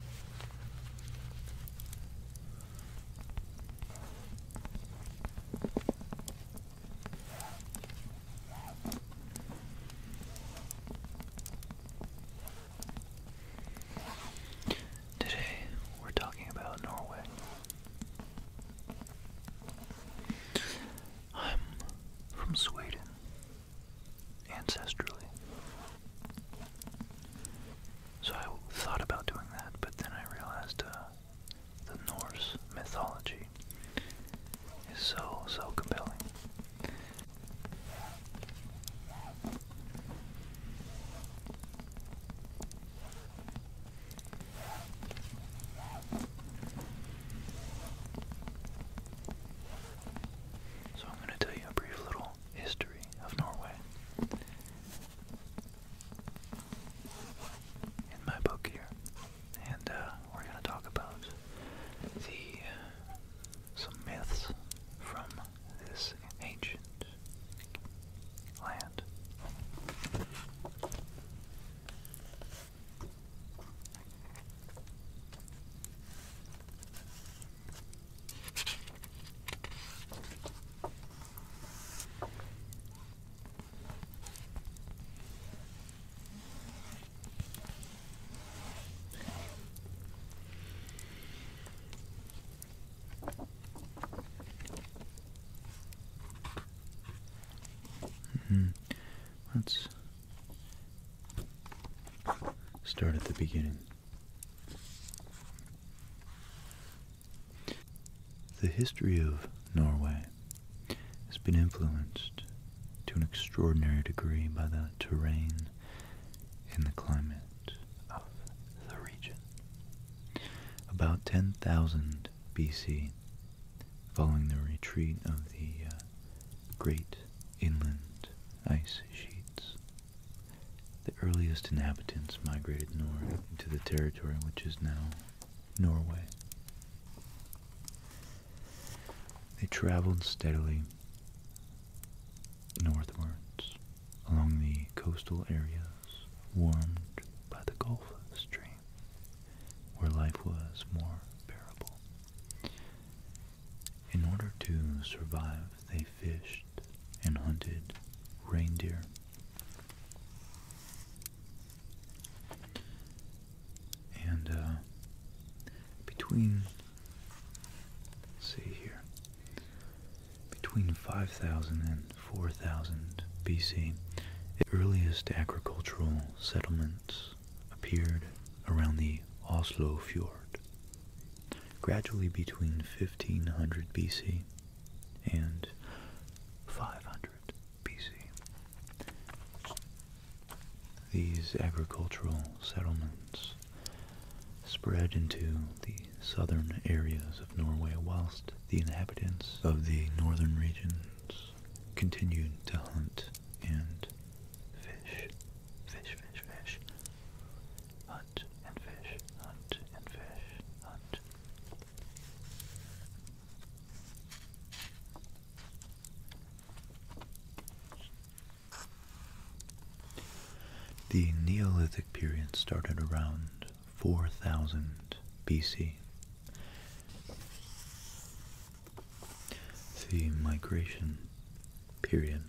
Today we're talking about Norway. I'm from Sweden, ancestrally. So I thought about doing that, but then I realized uh, the Norse mythology is so, so compelling. So I'm going to tell you a brief little history of Norway. In my book here, and uh, we're going to talk about the uh, some myths from this ancient land. Hmm. Let's start at the beginning. The history of Norway has been influenced to an extraordinary degree by the terrain and the climate of the region. About 10,000 BC, following the retreat of the uh, great inland ice sheets the earliest inhabitants migrated north into the territory which is now Norway. They traveled steadily northwards along the coastal areas warmed by the Gulf Stream, where life was more bearable. In order to survive, they fished and hunted reindeer. And uh, between, see here, between 5000 and 4000 BC, the earliest agricultural settlements appeared around the Oslo Fjord gradually between 1500 BC and 500 BC. These agricultural settlements spread into the southern areas of Norway whilst the inhabitants of the northern regions continued to hunt and fish, fish, fish, fish. Hunt and fish, hunt and fish, hunt. The Neolithic period started around 4000 BC the migration period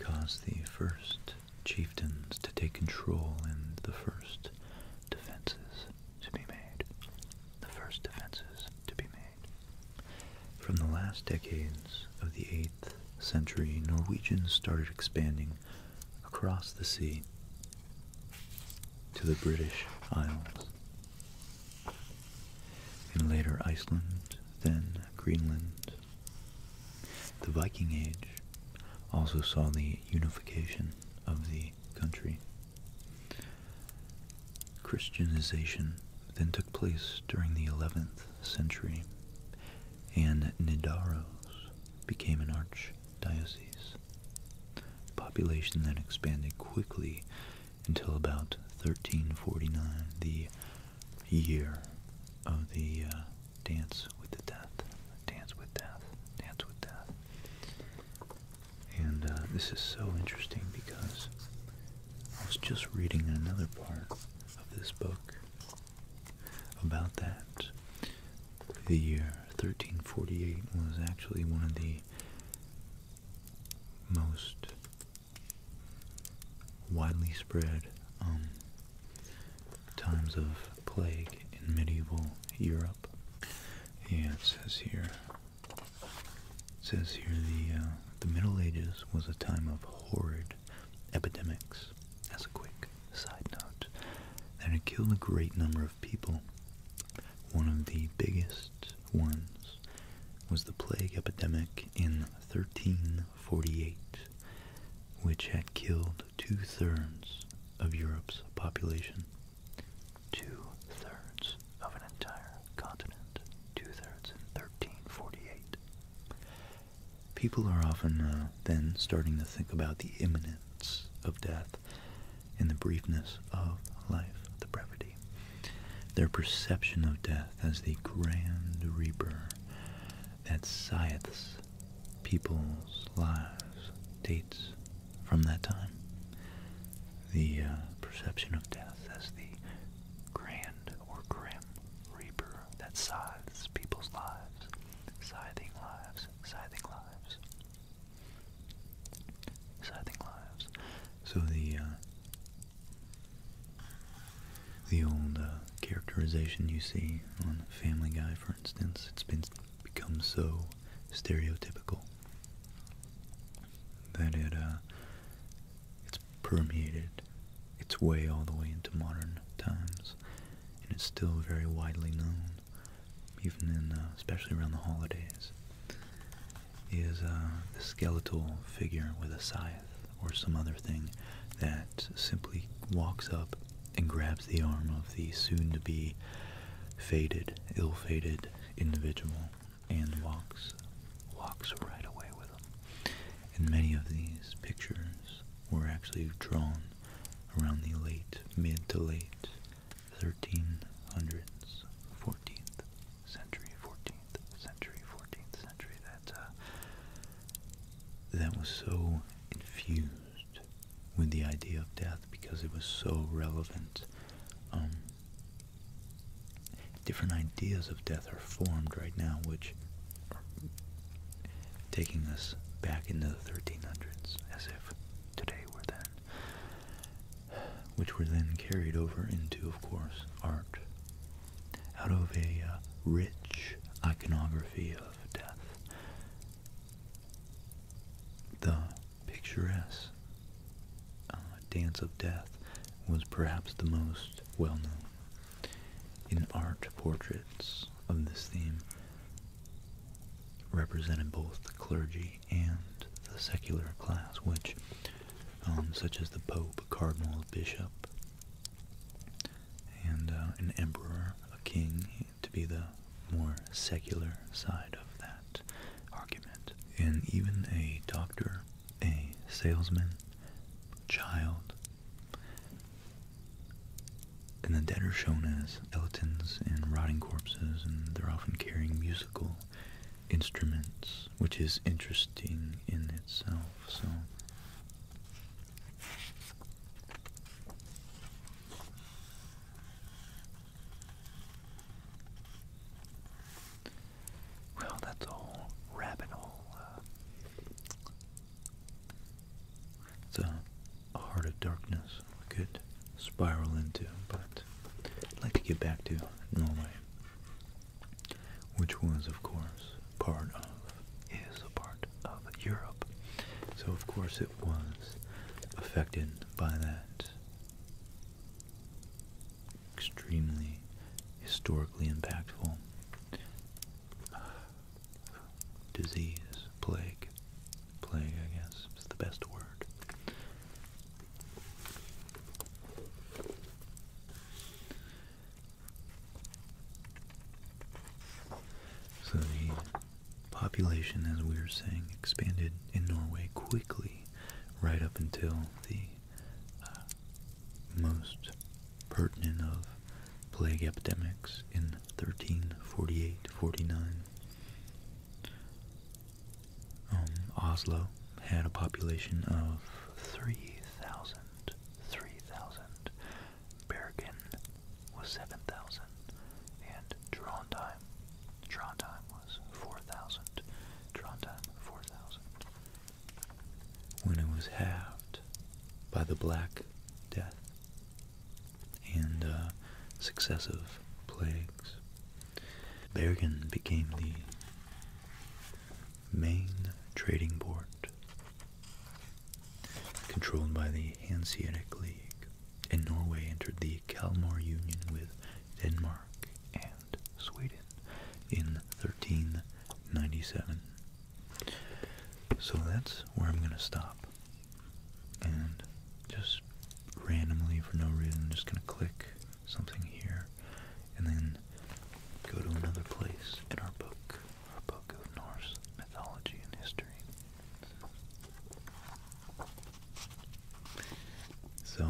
caused the first chieftains to take control and the first defenses to be made. The first defenses to be made. From the last decades of the 8th century, Norwegians started expanding across the sea to the British Isles. In later Iceland, then Greenland. The Viking Age also saw the unification of the country. Christianization then took place during the 11th century, and Nidaros became an archdiocese, population then expanded quickly until about 1349, the year of the uh, Dance with the Death, Dance with Death, Dance with Death. And uh, this is so interesting because I was just reading another part of this book about that. The year 1348 was actually one of the most widely spread um, times of plague in medieval Europe. Yeah, it says here. It says here the uh, the Middle Ages was a time of horrid epidemics. As a quick side note, that it killed a great number of people. One of the biggest first was the plague epidemic in 1348, which had killed two thirds of Europe's population. Two thirds of an entire continent. Two thirds in 1348. People are often uh, then starting to think about the imminence of death and the briefness of life, the brevity their perception of death as the grand reaper that scythes people's lives dates from that time. The uh, perception of death as the grand or grim reaper that scythes people's lives, scything lives, scything lives, scything lives. So the uh, the old uh, characterization you see on Family Guy, for instance, it's been become so stereotypical that it uh, it's permeated its way all the way into modern times, and it's still very widely known, even in uh, especially around the holidays is a uh, skeletal figure with a scythe or some other thing that simply walks up and grabs the arm of the soon-to-be faded, ill-fated individual and walks, walks right away with them. And many of these pictures were actually drawn around the late, mid to late 1300s, 14th century, 14th century, 14th century that uh, that was so infused with the idea of death because it was so relevant. Um, different ideas of death are formed right now, which are taking us back into the 1300s, as if today were then which were then carried over into, of course, art, out of a uh, rich iconography of death. The picturesque uh, Dance of Death was perhaps the most well known. In art, portraits of this theme represented both the clergy and the secular class, which, um, such as the Pope, a Cardinal, a Bishop, and uh, an Emperor, a King, to be the more secular side of that argument. And even a doctor, a salesman, child, and the dead are shown as skeletons and rotting corpses, and they're often carrying musical instruments, which is interesting in itself. So. Well, that's a rabbit hole. Uh, it's a heart of darkness we could spiral into, but I'd like to get back to Norway which was, of course, part of, is a part of Europe. So, of course, it was affected by that extremely historically impactful disease, plague. Plague, I guess, is the best word. So the population, as we were saying, expanded in Norway quickly right up until the uh, most pertinent of plague epidemics in 1348-49. Um, Oslo had a population of 3,000. 3,000. Bergen was 7,000. And Trondheim, Trondheim was 4,000. Trondheim, 4,000. When it was halved by the Black Death and uh, successive plagues, Bergen became the main trading port controlled by the Hanseatic League, and Norway entered the Kalmar Union with Denmark and Sweden in 1397. So that's where I'm going to stop and just randomly for no reason just gonna click something here and then go to another place in our book, our book of Norse mythology and history. So,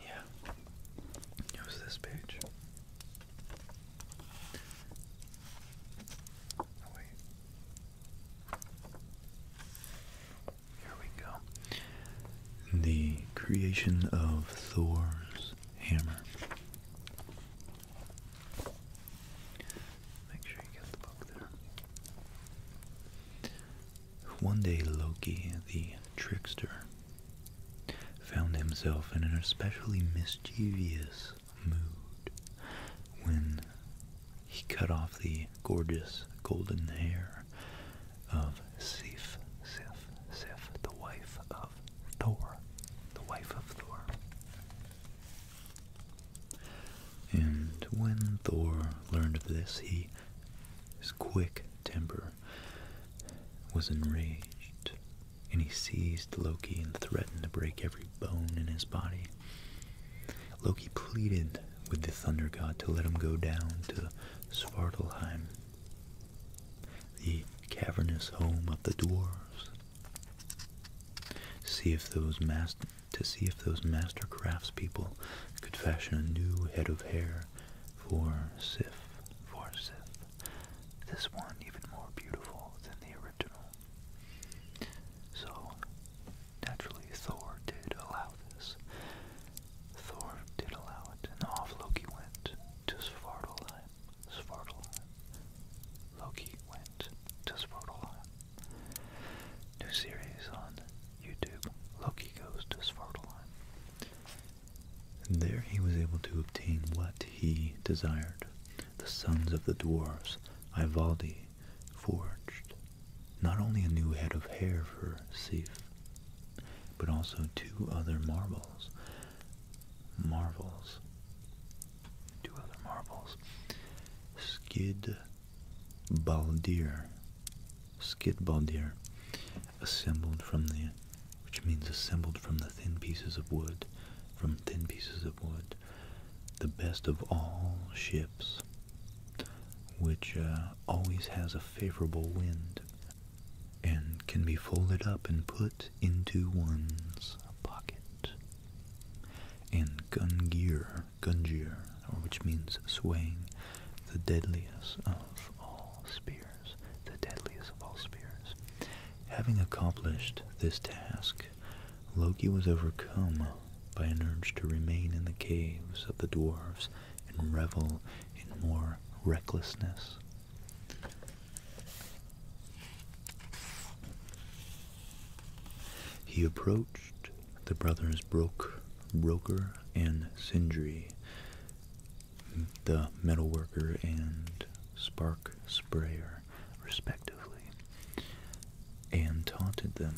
yeah, it was this page. Oh, wait. Here we go. The creation of Thor's hammer. Make sure you get the book there. One day Loki, the trickster, found himself in an especially mischievous mood when he cut off the gorgeous golden hair of Sif, Sif, Sif, the wife of Thor, the wife of Thor. And when Thor learned of this, his quick temper was enraged, and he seized Loki and threatened to break every bone in his body. Loki pleaded with the Thunder God to let him go down to Svartalheim, the cavernous home of the dwarves, to see if those master craftspeople could fashion a new head of hair for Sif, for Sif, this one even more beautiful than the original. So, naturally, Thor did allow this. Thor did allow it, and off Loki went to Svartalheim. Svartalheim. Loki went to Svartalheim. New series on YouTube. Loki goes to Svartalheim. there he was able to obtain what he desired. The sons of the dwarfs, Ivaldi, forged not only a new head of hair for Sif, but also two other marvels. Marvels. Two other marbles. Skid Baldir. Skid Baldir. Assembled from the, which means assembled from the thin pieces of wood, from thin pieces of wood the best of all ships, which uh, always has a favorable wind and can be folded up and put into one's pocket. And Gungir, Gungir, or which means swaying, the deadliest of all spears, the deadliest of all spears. Having accomplished this task, Loki was overcome by an urge to remain in the caves of the dwarves and revel in more recklessness. He approached the brothers Brok, Broker and Sindri, the metalworker and spark sprayer, respectively, and taunted them.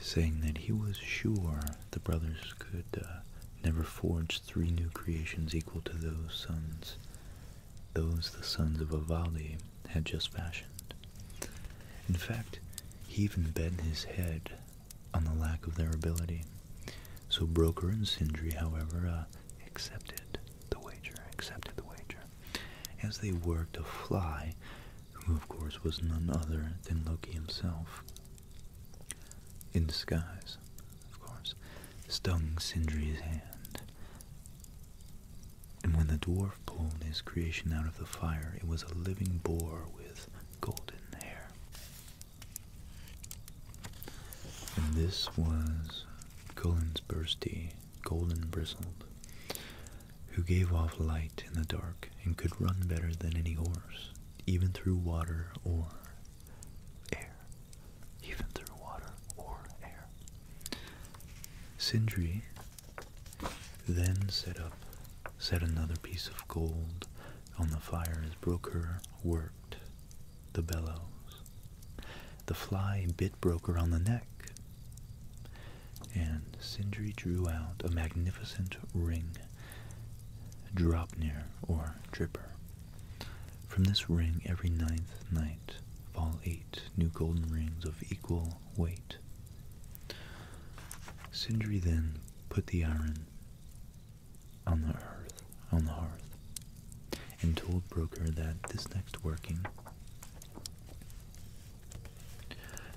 Saying that he was sure the brothers could uh, never forge three new creations equal to those sons, those the sons of Avali had just fashioned. In fact, he even bent his head on the lack of their ability. So broker and sindri, however, uh, accepted the wager, accepted the wager, as they worked a fly, who of course was none other than Loki himself. In disguise, of course, stung Sindri's hand, and when the dwarf pulled his creation out of the fire, it was a living boar with golden hair. And this was Cullen's Bursty, golden bristled, who gave off light in the dark and could run better than any horse, even through water or air. Even through water or air. Sindri then set up, set another piece of gold on the fire as Broker worked the bellows. The fly bit Broker on the neck, and Sindri drew out a magnificent ring, Dropnir or Dripper. From this ring every ninth night fall eight new golden rings of equal Wait. Sindri then put the iron on the earth, on the hearth, and told Brokkr that this next working,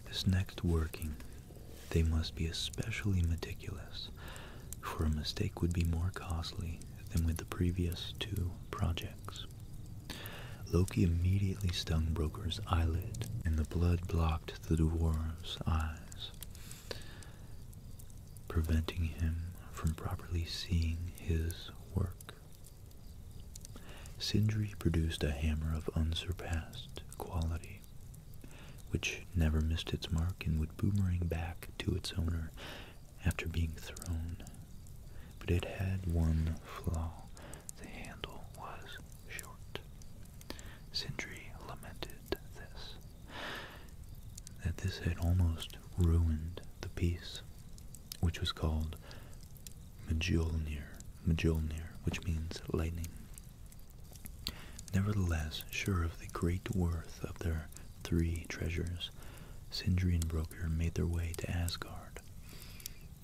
this next working, they must be especially meticulous, for a mistake would be more costly than with the previous two projects. Loki immediately stung Broker's eyelid, and the blood blocked the dwarf's eyes, preventing him from properly seeing his work. Sindri produced a hammer of unsurpassed quality, which never missed its mark and would boomerang back to its owner after being thrown. But it had one flaw. The handle was short. Sindri lamented this, that this had almost ruined the piece, which was called Mjolnir, Mjolnir, which means lightning. Nevertheless, sure of the great worth of their three treasures, Sindri and Brokkr made their way to Asgard,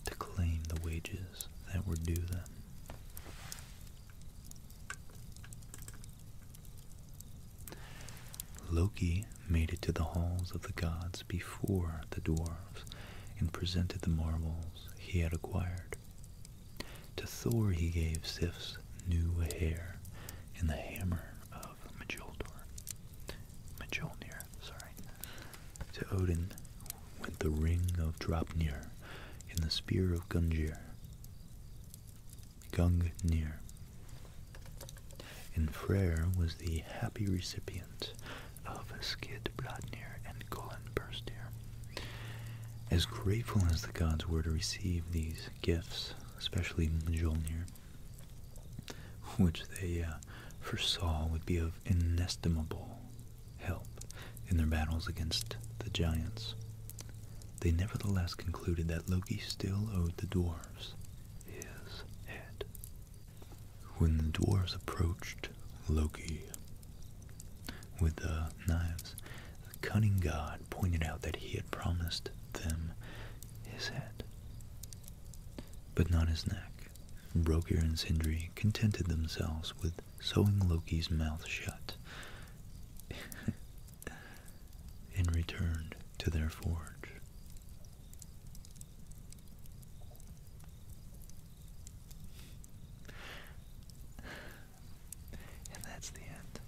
to claim the wages that were due them. Loki made it to the halls of the gods before the dwarves and presented the marvels he had acquired. To Thor he gave Sif's new hair and the hammer of Mjolnir. Mjolnir. To Odin went the ring of Draupnir, and the spear of Gungnir. Gungnir. And Freyr was the happy recipient of Skidbladnir and Golenburstir. As grateful as the gods were to receive these gifts, especially Mjolnir, which they uh, foresaw would be of inestimable help in their battles against the giants. They nevertheless concluded that Loki still owed the dwarfs his head. When the dwarfs approached Loki with the knives, the cunning god pointed out that he had promised them his head but not his neck. Brokir and Sindri contented themselves with sewing Loki's mouth shut and returned to their forge. And that's the end.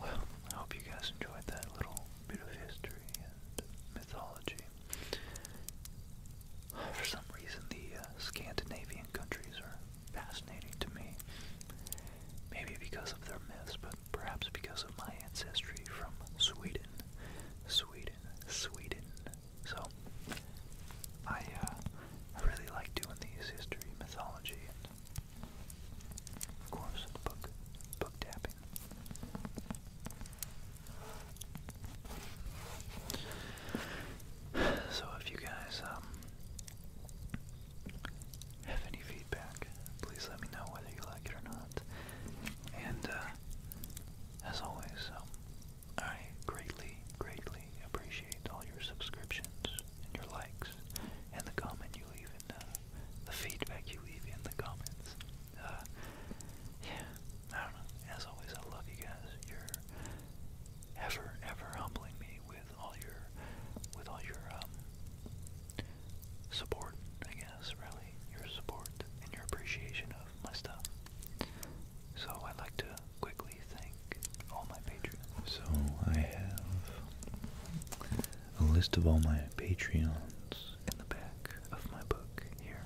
Well, I hope you guys enjoyed that little bit of history and mythology For some reason, the uh, Scandinavian countries are fascinating to me. Maybe because of their myths, but perhaps because of my ancestry from Sweden. Sweden, Sweden. So, I, uh, I really like doing these history, mythology, and of course, book, book dabbing. So if you guys um, have any feedback, please let me know whether you like it or not. And uh, as always, um, I greatly, greatly appreciate all your subscriptions and your likes and the comment you leave in uh, the feedback you leave in the comments. Uh, yeah, I don't know. As always, I love you guys. You're ever, ever humbling me with all your, with all your um, support. I guess really your support and your appreciation of my stuff. So I'd like to quickly thank all my Patreons. So I have a list of all my Patreons in the back of my book here.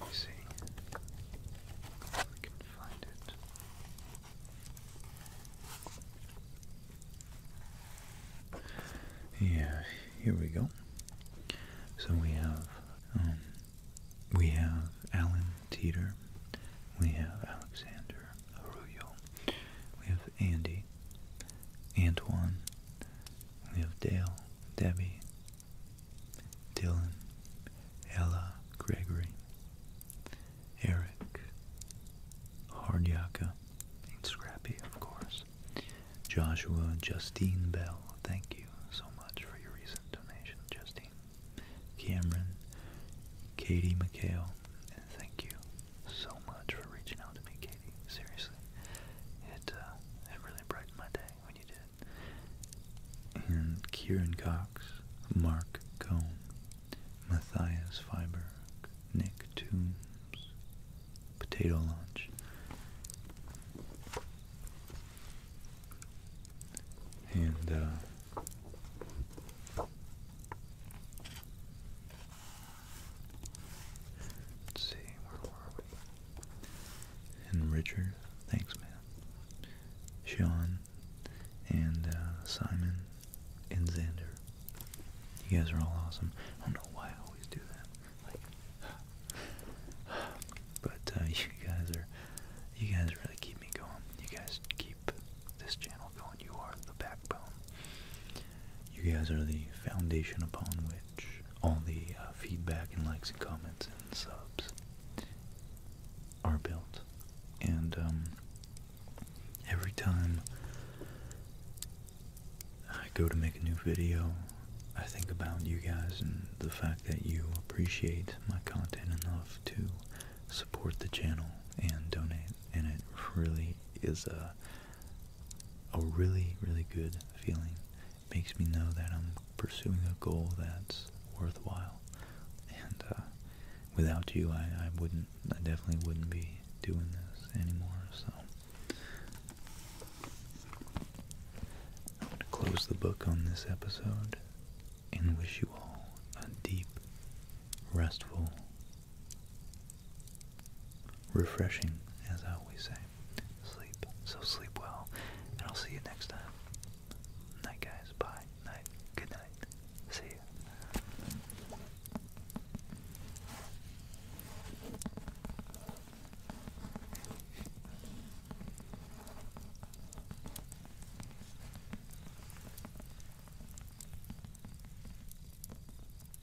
Let see if can find it. Yeah, here we go. So we have um, we have Alan Teeter, we have Alexander Arroyo, we have Andy, Antoine, we have Dale, Debbie, Dylan, Ella, Gregory, Eric, Hardyaka, and Scrappy, of course. Joshua, Justine Bell, thank you so much for your recent donation, Justine. Cameron, Katie McHale, and thank you so much for reaching out to me, Katie. Seriously seriously, it uh, it really brightened my day when you did. And Kieran Cox, Mark Cohn, Matthias Feiberg, Nick Toombs, Potato Launch. And, uh, Let's see, where were we? And Richard, thanks man. Sean and uh, Simon and Xander. You guys are all awesome. I don't know why I always do that. but uh, you guys are, you guys really keep me going. You guys keep this channel going. You are the backbone. You guys are the foundation upon which all the uh, feedback and likes and comments and subs are built. And um, every time I go to make a new video, I think about you guys and the fact that you appreciate my content enough to support the channel and donate. And it really is a a really, really good feeling. makes me know that I'm pursuing a goal that's worthwhile. And uh, without you, I, I wouldn't, I definitely wouldn't be doing this anymore. So I'm going to close the book on this episode and wish you all a deep, restful, refreshing, as I always say, sleep. So sleep well, and I'll see you next time. Night, guys. Bye. Night. Good night. See ya.